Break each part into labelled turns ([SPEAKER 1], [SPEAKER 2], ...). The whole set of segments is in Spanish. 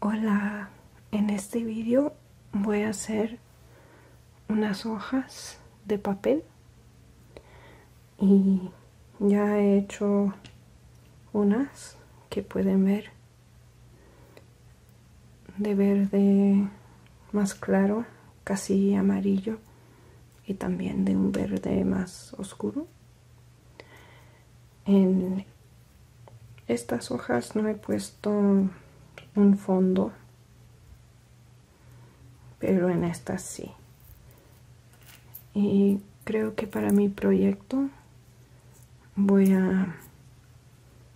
[SPEAKER 1] Hola, en este vídeo voy a hacer unas hojas de papel y ya he hecho unas que pueden ver de verde más claro, casi amarillo, y también de un verde más oscuro. En estas hojas no he puesto un fondo, pero en estas sí. Y creo que para mi proyecto voy a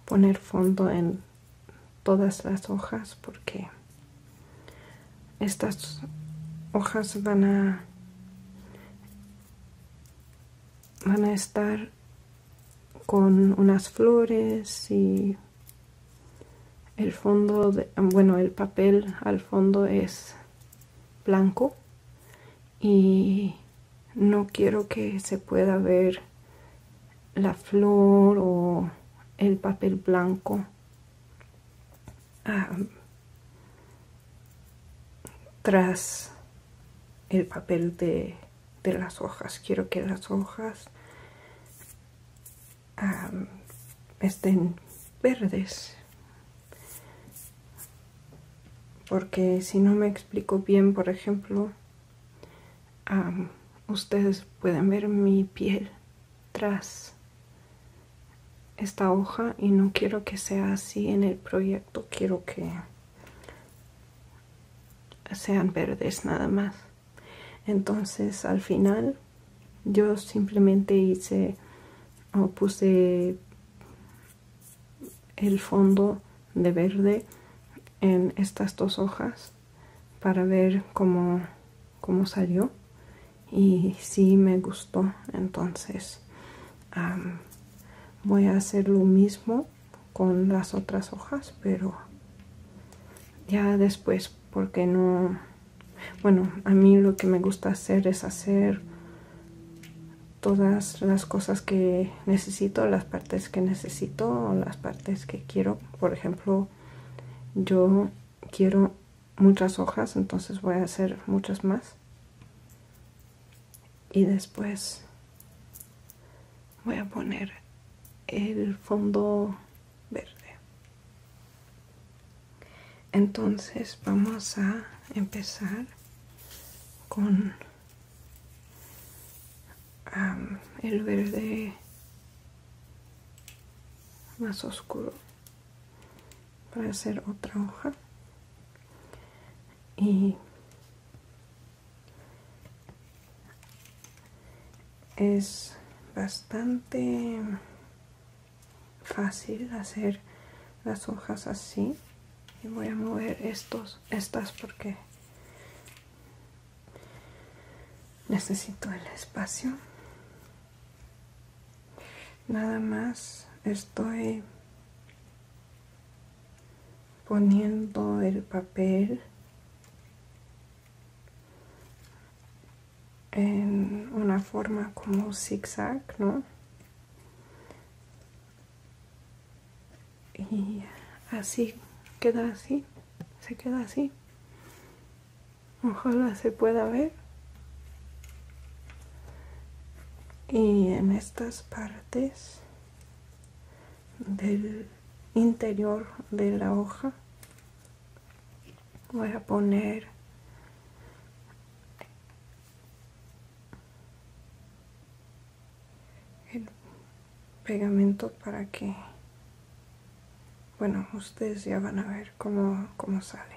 [SPEAKER 1] poner fondo en todas las hojas porque estas hojas van a van a estar con unas flores y el fondo bueno el papel al fondo es blanco y no quiero que se pueda ver la flor o el papel blanco ah, tras el papel de, las hojas. Quiero que las hojas ah, estén verdes. Porque si no me explico bien, por ejemplo, ah, ustedes pueden ver mi piel tras esta hoja y no quiero que sea así en el proyecto quiero que sean verdes nada más entonces al final yo simplemente hice o puse el fondo de verde en estas dos hojas para ver cómo, cómo salió y si me gustó entonces voy a hacer lo mismo con las otras hojas pero ya después porque no bueno a mí lo que me gusta hacer es hacer todas las cosas que necesito las partes que necesito las partes que quiero por ejemplo yo quiero muchas hojas, entonces voy a hacer muchas más. Y después voy a poner el fondo verde. Entonces vamos a empezar con el verde más oscuro para hacer otra hoja y es bastante fácil hacer las hojas así y voy a mover estos estas porque Necesito el espacio. Nada más estoy poniendo el papel en una forma como zigzag, ¿no? Y así queda así, se queda así ojalá se pueda ver y en estas partes del interior de la hoja voy a poner el pegamento para que bueno, ustedes ya van a ver cómo, cómo sale.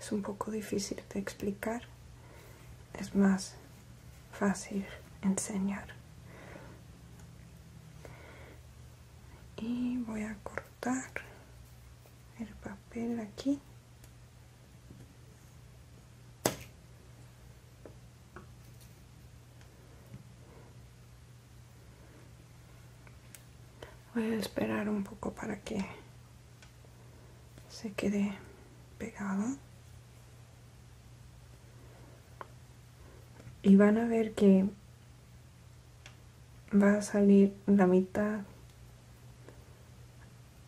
[SPEAKER 1] Es un poco difícil de explicar. Es más fácil enseñar. Y voy a cortar el papel aquí. Voy a esperar un poco para que se quede pegado. Y van a ver que va a salir la mitad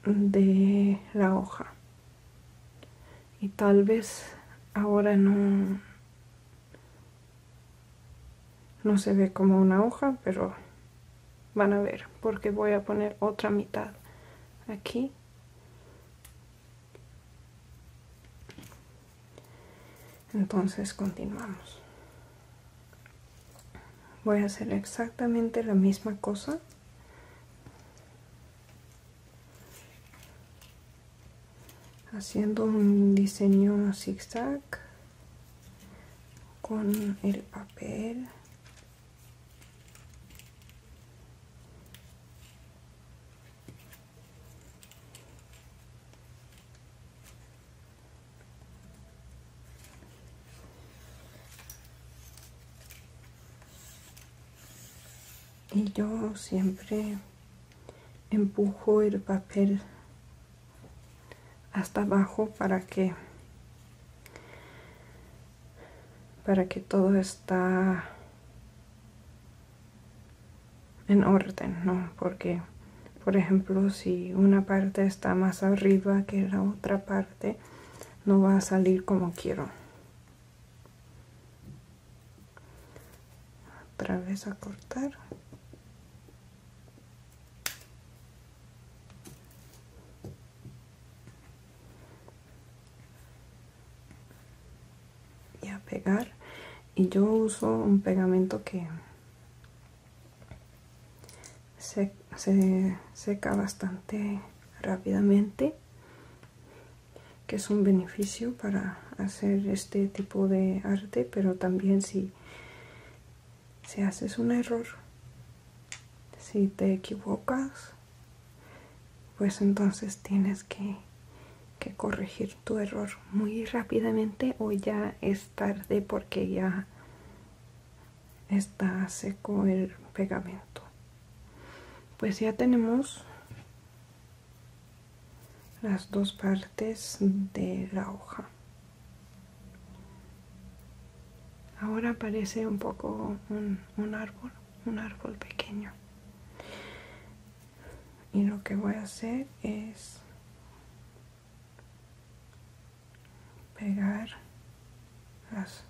[SPEAKER 1] de la hoja. Y tal vez ahora no, no se ve como una hoja, pero van a ver porque voy a poner otra mitad aquí. Entonces continuamos. Voy a hacer exactamente la misma cosa haciendo un diseño zigzag con el papel y yo siempre empujo el papel hasta abajo para que para que todo está en orden, ¿no? Porque, por ejemplo, si una parte está más arriba que la otra parte, no va a salir como quiero. Otra vez a cortar y a pegar y yo uso un pegamento que se, se seca bastante rápidamente que es un beneficio para hacer este tipo de arte pero también si si, haces un error, si te equivocas, pues entonces tienes que corregir tu error muy rápidamente o ya es tarde porque ya está seco el pegamento pues ya tenemos las dos partes de la hoja ahora parece un poco un, árbol un árbol pequeño y lo que voy a hacer es pegar las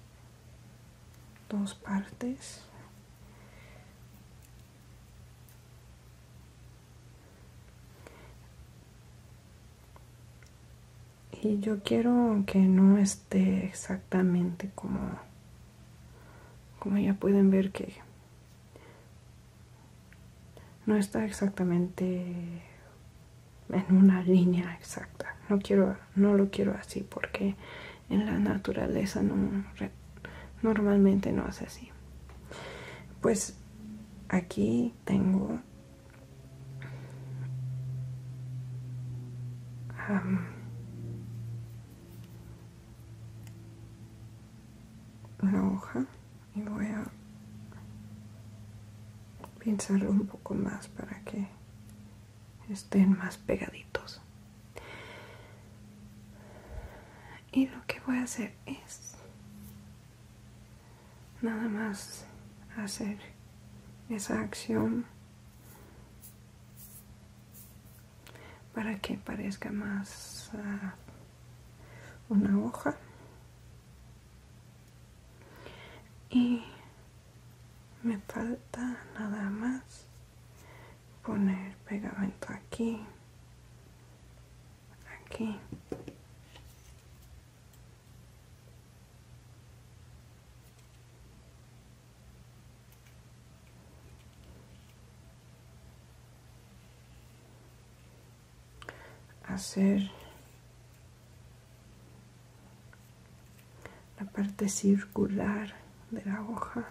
[SPEAKER 1] dos partes y yo quiero que no esté exactamente como como ya pueden ver que no está exactamente en una línea exacta no quiero no lo quiero así porque en la naturaleza no normalmente no hace así pues aquí tengo una hoja y voy a pensarlo un poco más para que estén más pegaditos y lo que voy a hacer es nada más hacer esa acción para que parezca más ah, una hoja y me falta nada más poner pegamento aquí aquí hacer la parte circular de la hoja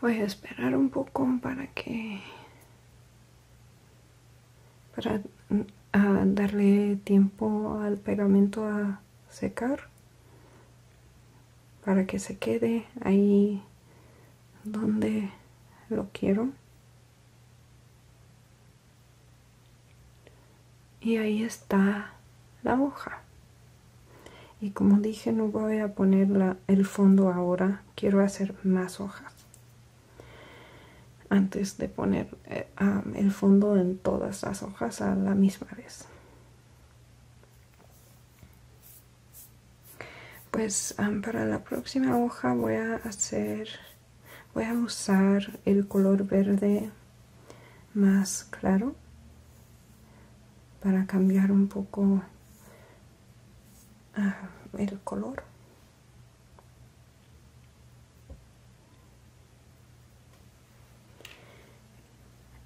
[SPEAKER 1] Voy a esperar un poco para que para darle tiempo al pegamento a secar para que se quede ahí donde lo quiero y ahí está la hoja y como dije no voy a poner el fondo ahora quiero hacer más hojas antes de poner eh, el fondo en todas las hojas a la misma vez pues para la próxima hoja voy a hacer voy a usar el color verde más claro para cambiar un poco ah, el color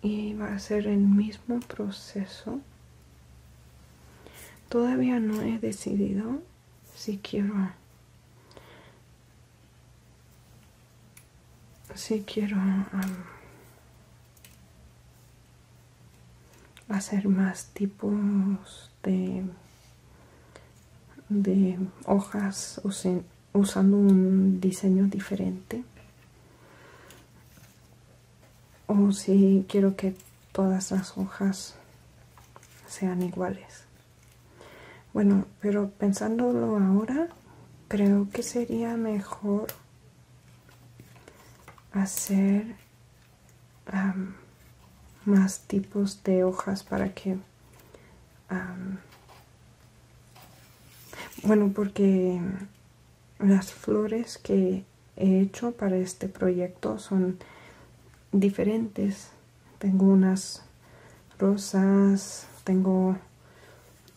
[SPEAKER 1] y va a ser el mismo proceso todavía no he decidido si quiero si quiero um, hacer más tipos de, hojas usando un diseño diferente o si quiero que todas las hojas sean iguales bueno pero pensándolo ahora creo que sería mejor hacer más tipos de hojas para que bueno porque las flores que he hecho para este proyecto son diferentes tengo unas rosas tengo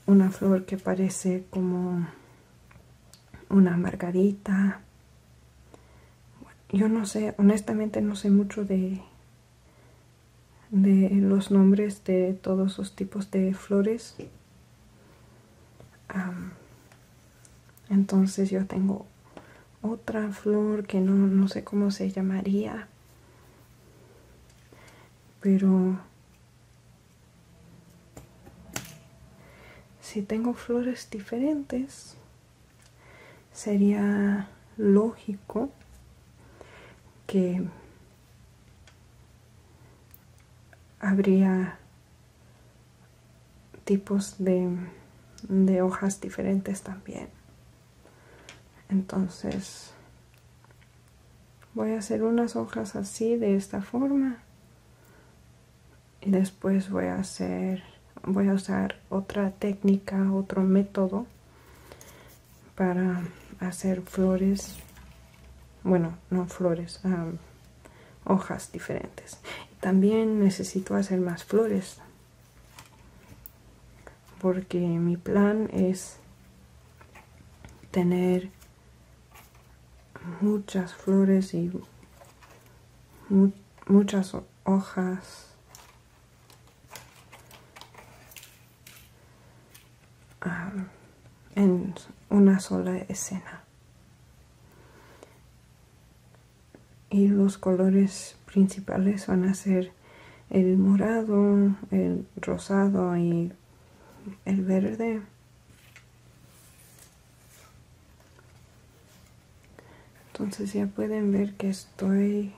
[SPEAKER 1] una flor que parece como una margarita. yo no sé, honestamente no sé mucho de, los nombres de todos los tipos de flores. entonces yo tengo otra flor que no, no sé cómo se llamaría. Pero si tengo flores diferentes, sería lógico que habría tipos de, hojas diferentes también entonces voy a hacer unas hojas así de esta forma y después voy a hacer voy a usar otra técnica otro método para hacer flores bueno no flores hojas diferentes también necesito hacer más flores porque mi plan es tener muchas flores y muchas hojas. Ah, en una sola escena. Y los colores principales van a ser el morado, el rosado y el verde entonces ya pueden ver que estoy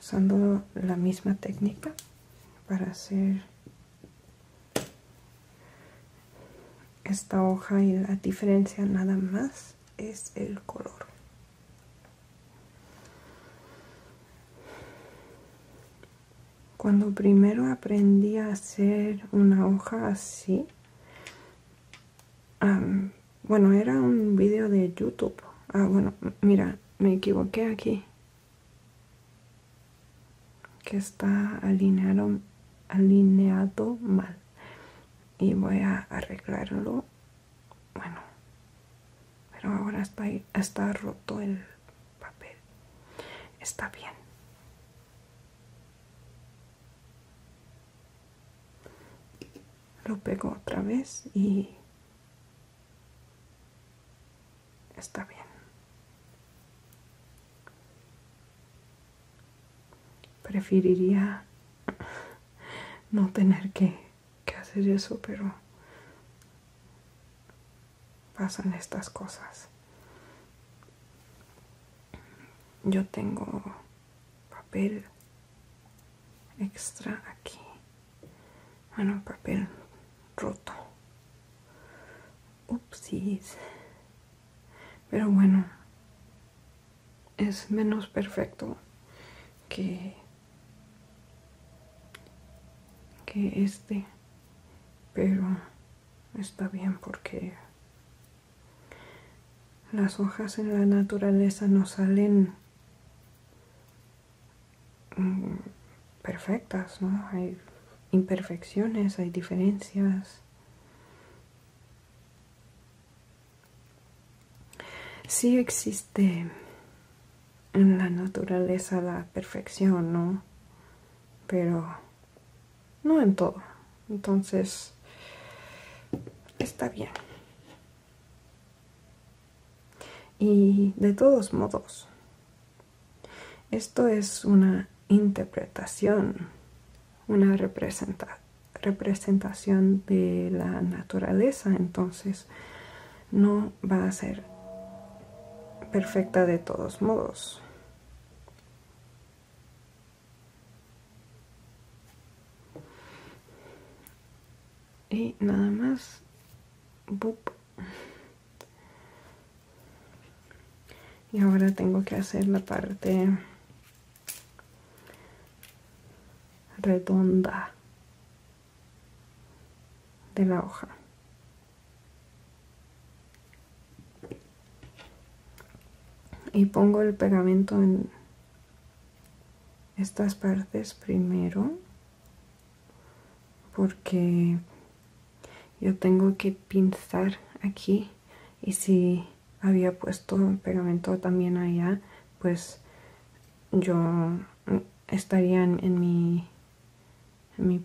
[SPEAKER 1] usando la misma técnica para hacer esta hoja y la diferencia nada más es el color cuando primero aprendí a hacer una hoja así, bueno, era un vídeo de YouTube. Ah, bueno, mira, me equivoqué aquí. Que está alineado, alineado mal. Y voy a arreglarlo. Bueno, pero ahora está, está roto el papel. Está bien. Lo pego otra vez y está bien. Preferiría no tener que que hacer eso, pero pasan estas cosas. Yo tengo papel extra aquí. Bueno, ah, papel roto. Upsis. Pero bueno, es menos perfecto que que este pero está bien porque las hojas en la naturaleza no salen mm, perfectas, ¿no? Hay imperfecciones, hay diferencias. Sí existe en la naturaleza la perfección, ¿no? Pero no en todo. Entonces, está bien. Y de todos modos, esto es una interpretación, una representa representación de la naturaleza. Entonces, no va a ser perfecta de todos modos. Y nada más. Y ahora tengo que hacer la parte redonda de la hoja. Y pongo el pegamento en estas partes primero porque yo tengo que pinzar aquí y si había puesto pegamento también allá pues yo estaría en mi en mi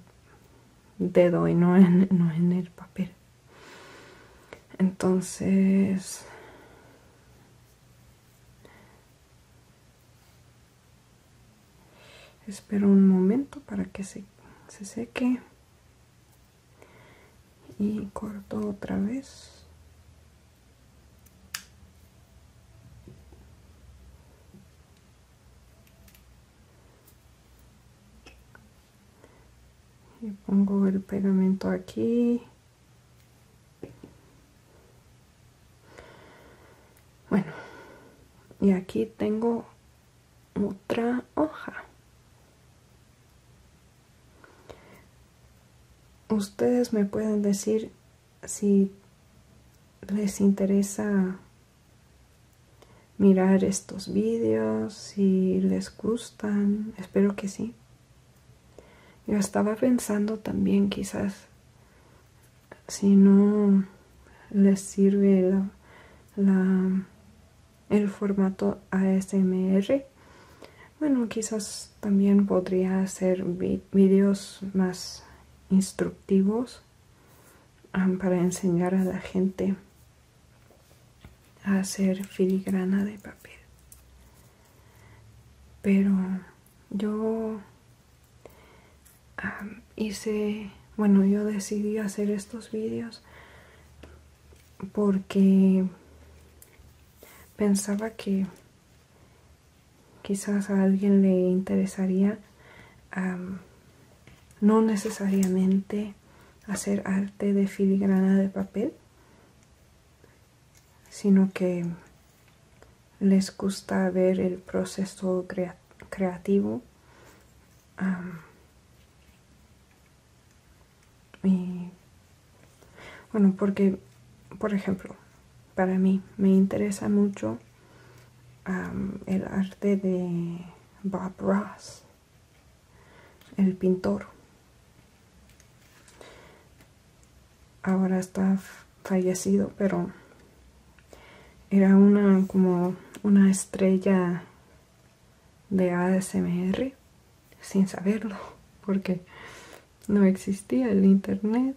[SPEAKER 1] dedo y no en, no en el papel. Entonces... Espero un momento para que se, se seque. Y corto otra vez y pongo el pegamento aquí bueno y aquí tengo otra hoja ustedes me pueden decir si les interesa mirar estos vídeos, si les gustan, espero que sí. Yo estaba pensando también quizás si no les sirve la, el formato ASMR. Bueno, quizás también podría hacer vídeos más instructivos para enseñar a la gente a hacer filigrana de papel pero yo hice bueno yo decidí hacer estos vídeos porque pensaba que Quizás a alguien le interesaría no necesariamente hacer arte de filigrana de papel, sino que les gusta ver el proceso creativo y bueno porque por ejemplo para mí. Me interesa mucho el arte de Bob Ross, el pintor. Ahora está fallecido, pero era una como una estrella de ASMR sin saberlo, porque no existía el internet.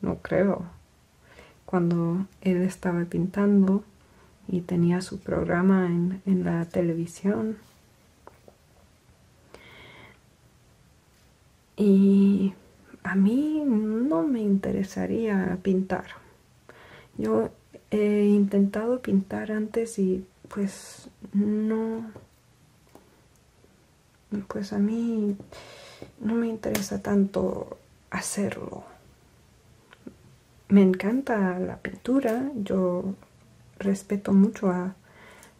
[SPEAKER 1] No creo cuando él estaba pintando y tenía su programa en, la televisión. Y a mí no me interesaría pintar. Yo he intentado pintar antes y pues no, pues a mí no me interesa tanto hacerlo. Me encanta la pintura, yo respeto mucho a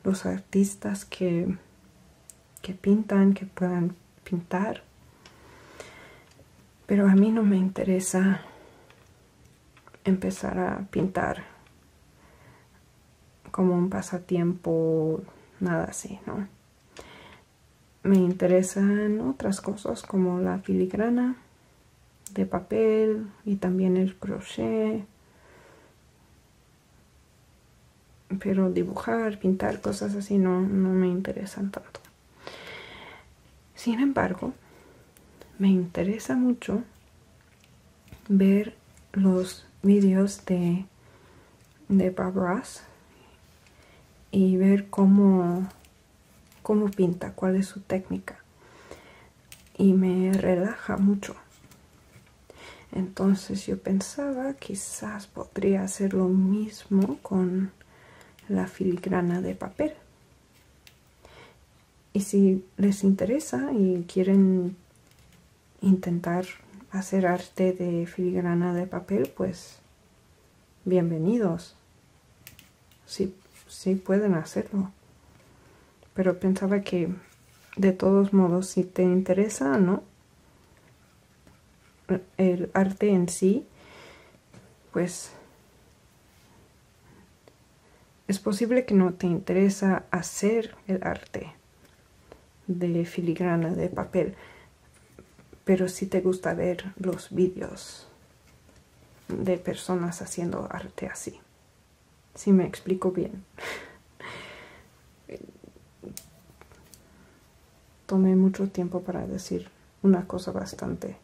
[SPEAKER 1] los artistas que, que pintan, que puedan pintar, pero a mí no me interesa empezar a pintar como un pasatiempo, nada así, ¿no? me interesan otras cosas como la filigrana de papel y también el crochet pero dibujar, pintar, cosas así no, me interesan tanto sin embargo me interesa mucho ver los vídeos de de Bob y ver cómo, cómo pinta, cuál es su técnica. Y me relaja mucho. Entonces yo pensaba quizás podría hacer lo mismo con la filigrana de papel. Y si les interesa y quieren intentar hacer arte de filigrana de papel, pues bienvenidos. si sí pueden hacerlo. Pero pensaba que de todos modos, si te interesa no, el arte en sí, pues es posible que no te interesa hacer el arte de filigrana de papel, pero si te gusta ver los vídeos de personas haciendo arte así si me explico bien tomé mucho tiempo para decir una cosa bastante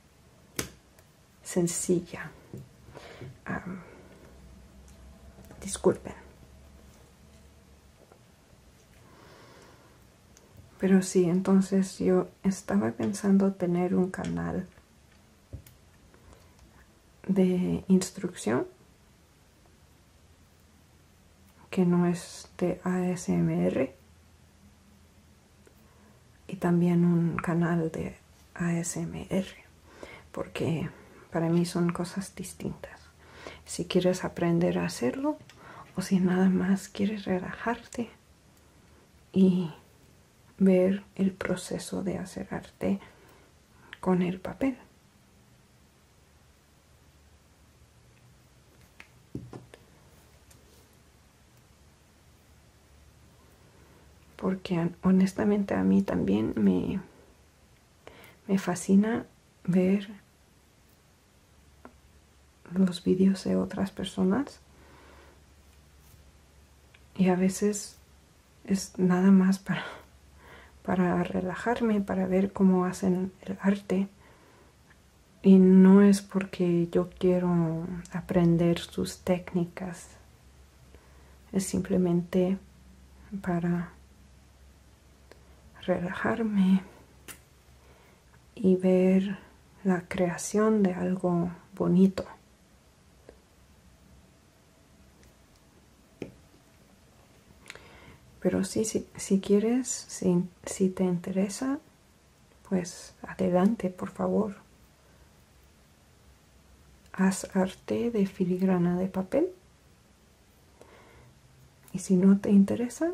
[SPEAKER 1] sencilla disculpen pero sí, entonces yo estaba pensando tener un canal de instrucción que no es de ASMR y también un canal de ASMR porque para mí son cosas distintas. Si quieres aprender a hacerlo, o si nada más quieres relajarte y ver el proceso de hacer con el papel. Porque honestamente a mí también me, me fascina ver los vídeos de otras personas y a veces es nada más para, para relajarme, para ver cómo hacen el arte y no es porque yo quiero aprender sus técnicas, es simplemente para relajarme y ver la creación de algo bonito. Pero sí, si quieres, si, si te interesa, pues adelante, por favor. Haz arte de filigrana de papel. Y si no te interesa,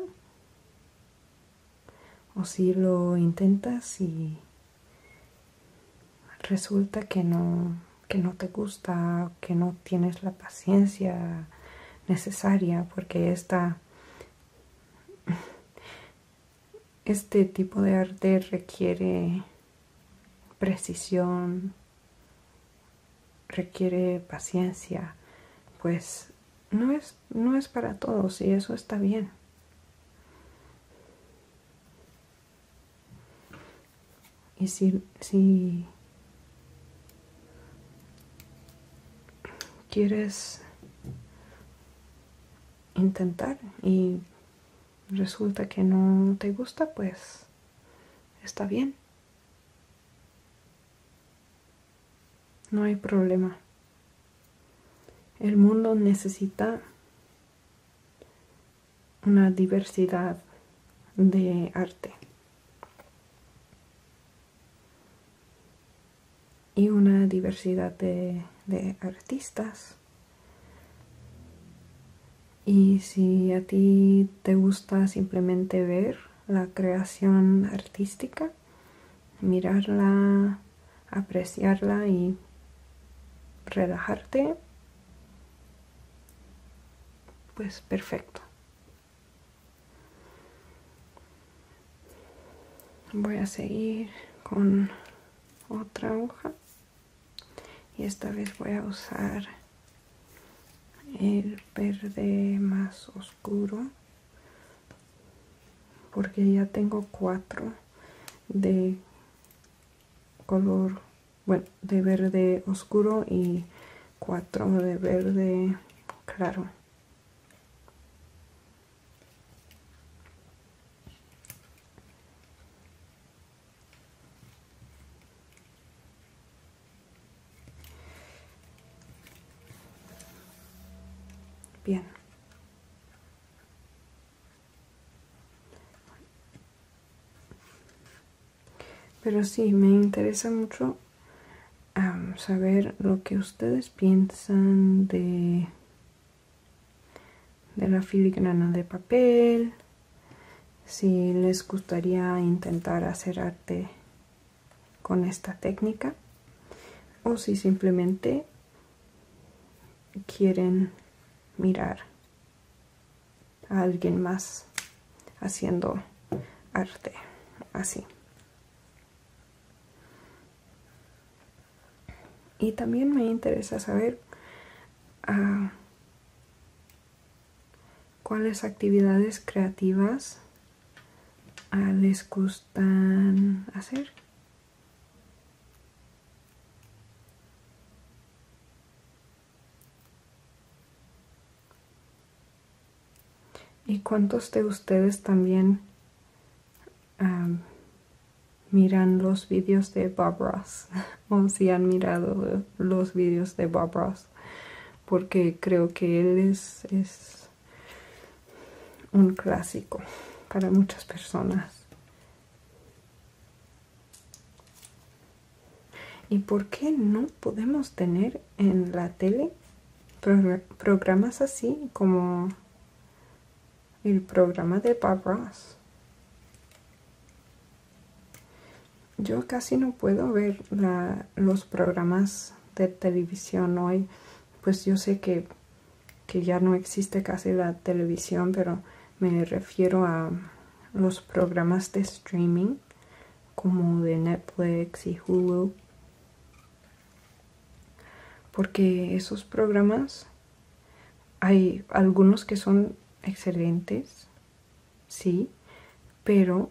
[SPEAKER 1] o si lo intentas y resulta que no, que no te gusta, que no tienes la paciencia necesaria, porque esta, este tipo de arte requiere precisión, requiere paciencia, pues no es no es para todos y eso está bien. Y si, si quieres intentar y resulta que no te gusta, pues está bien. No hay problema. El mundo necesita una diversidad de arte y una diversidad de, artistas. Y si a ti te gusta simplemente ver la creación artística, mirarla, apreciarla y relajarte, pues perfecto. Voy a seguir con otra hoja y esta vez voy a usar el verde más oscuro oscuro porque ya tengo cuatro de color bueno de verde oscuro y cuatro de verde claro Bien. Pero sí, me interesa mucho saber lo que ustedes piensan de la filigrana de papel, si les gustaría intentar hacer arte con esta técnica o si simplemente quieren mirar a alguien más haciendo arte así y también me interesa saber ah, cuáles actividades creativas Ah, les gustan hacer. ¿Y cuántos de ustedes también miran los vídeos de Bob Ross? o si han mirado los vídeos de Bob Porque creo que él es un clásico para muchas personas. ¿Y por qué no podemos tener en la tele programas así como el programa de Bob Ross? Yo casi no puedo ver los programas de televisión hoy, pues yo sé que que ya no existe casi la televisión, pero me refiero a los programas de streaming como de Netflix y Hulu porque esos programas hay algunos que son excelentes sí pero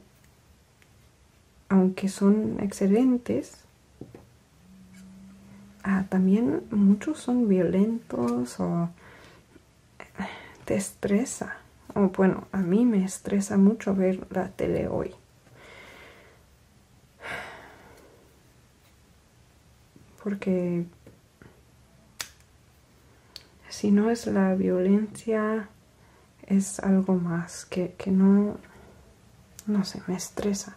[SPEAKER 1] aunque son excelentes Ah, también muchos son violentos o eh, te estresa. O bueno, a mí me estresa mucho ver la tele hoy. Porque si no es la violencia, es algo más que, no, no sé, me estresa.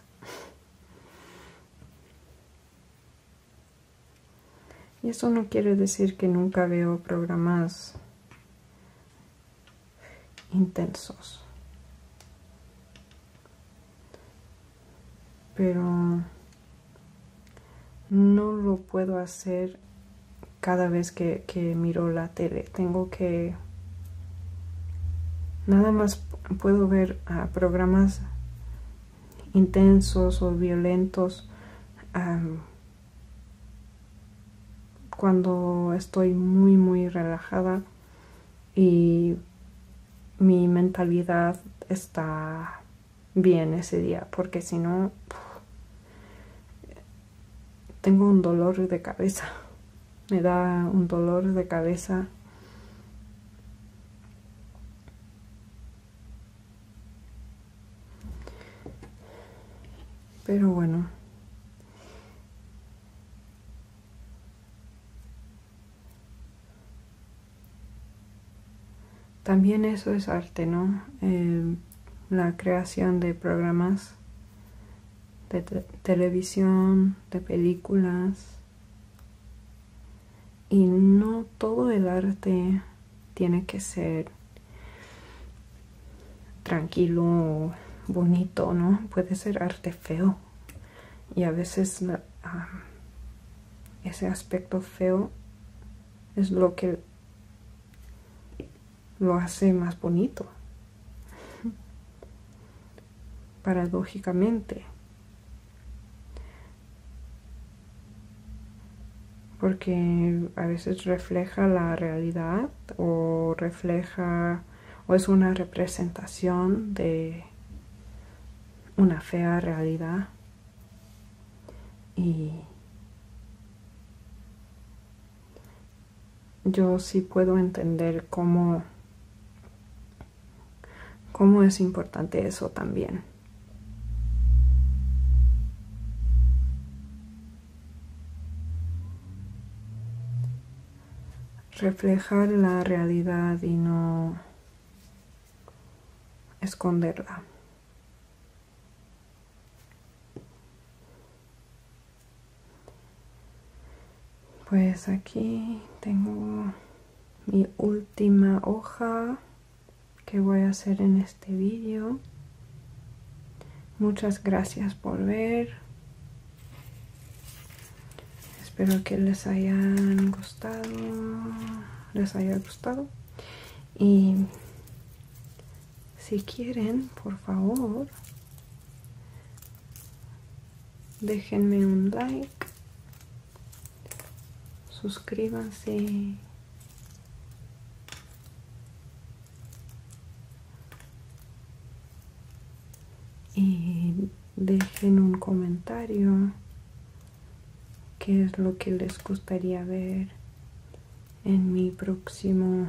[SPEAKER 1] Y eso no quiere decir que nunca veo programas intensos. Pero no lo puedo hacer cada vez que, miro la tele tengo que nada más puedo ver programas intensos o violentos cuando estoy muy muy relajada y mi mentalidad está bien ese día porque si no tengo un dolor de cabeza me da un dolor de cabeza. Pero bueno. También eso es arte, ¿no? Eh, la creación de programas de televisión, de películas. Y no todo el arte tiene que ser tranquilo, bonito, ¿no? Puede ser arte feo. Y a veces ese aspecto feo es lo que lo hace más bonito. Paradójicamente. Porque a veces refleja la realidad o refleja o es una representación de una fea realidad. Y yo sí puedo entender cómo, cómo es importante eso también. Reflejar la realidad y no esconderla pues aquí tengo mi última hoja que voy a hacer en este vídeo muchas gracias por ver espero que les hayan gustado les haya gustado y si quieren por favor déjenme un like suscríbanse y dejen un comentario qué es lo que les gustaría ver en mi próximo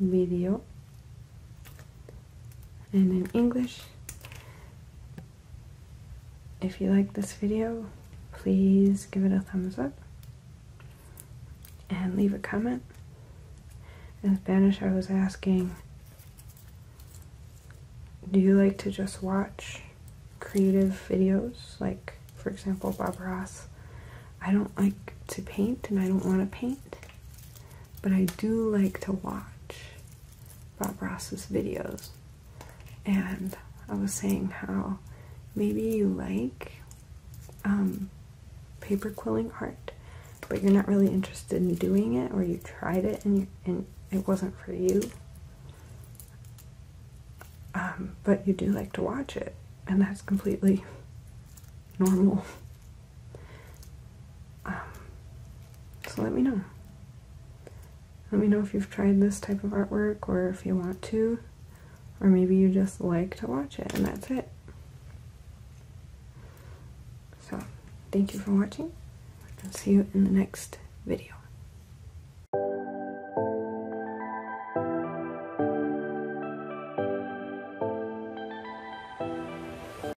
[SPEAKER 1] vídeo. and in English. If you like this video, please give it a thumbs up and leave a comment. In Spanish, I was asking, do you like to just watch creative videos? Like, for example, Bob Ross. I don't like to paint and I don't want to paint, but I do like to watch. Bob Ross's videos, and I was saying how maybe you like um, paper quilling art, but you're not really interested in doing it, or you tried it and it wasn't for you. Um, but you do like to watch it, and that's completely normal. Um, so let me know. Let me know if you've tried this type of artwork or if you want to, or maybe you just like to watch it and that's it. So, thank you for watching. i see you in the next video.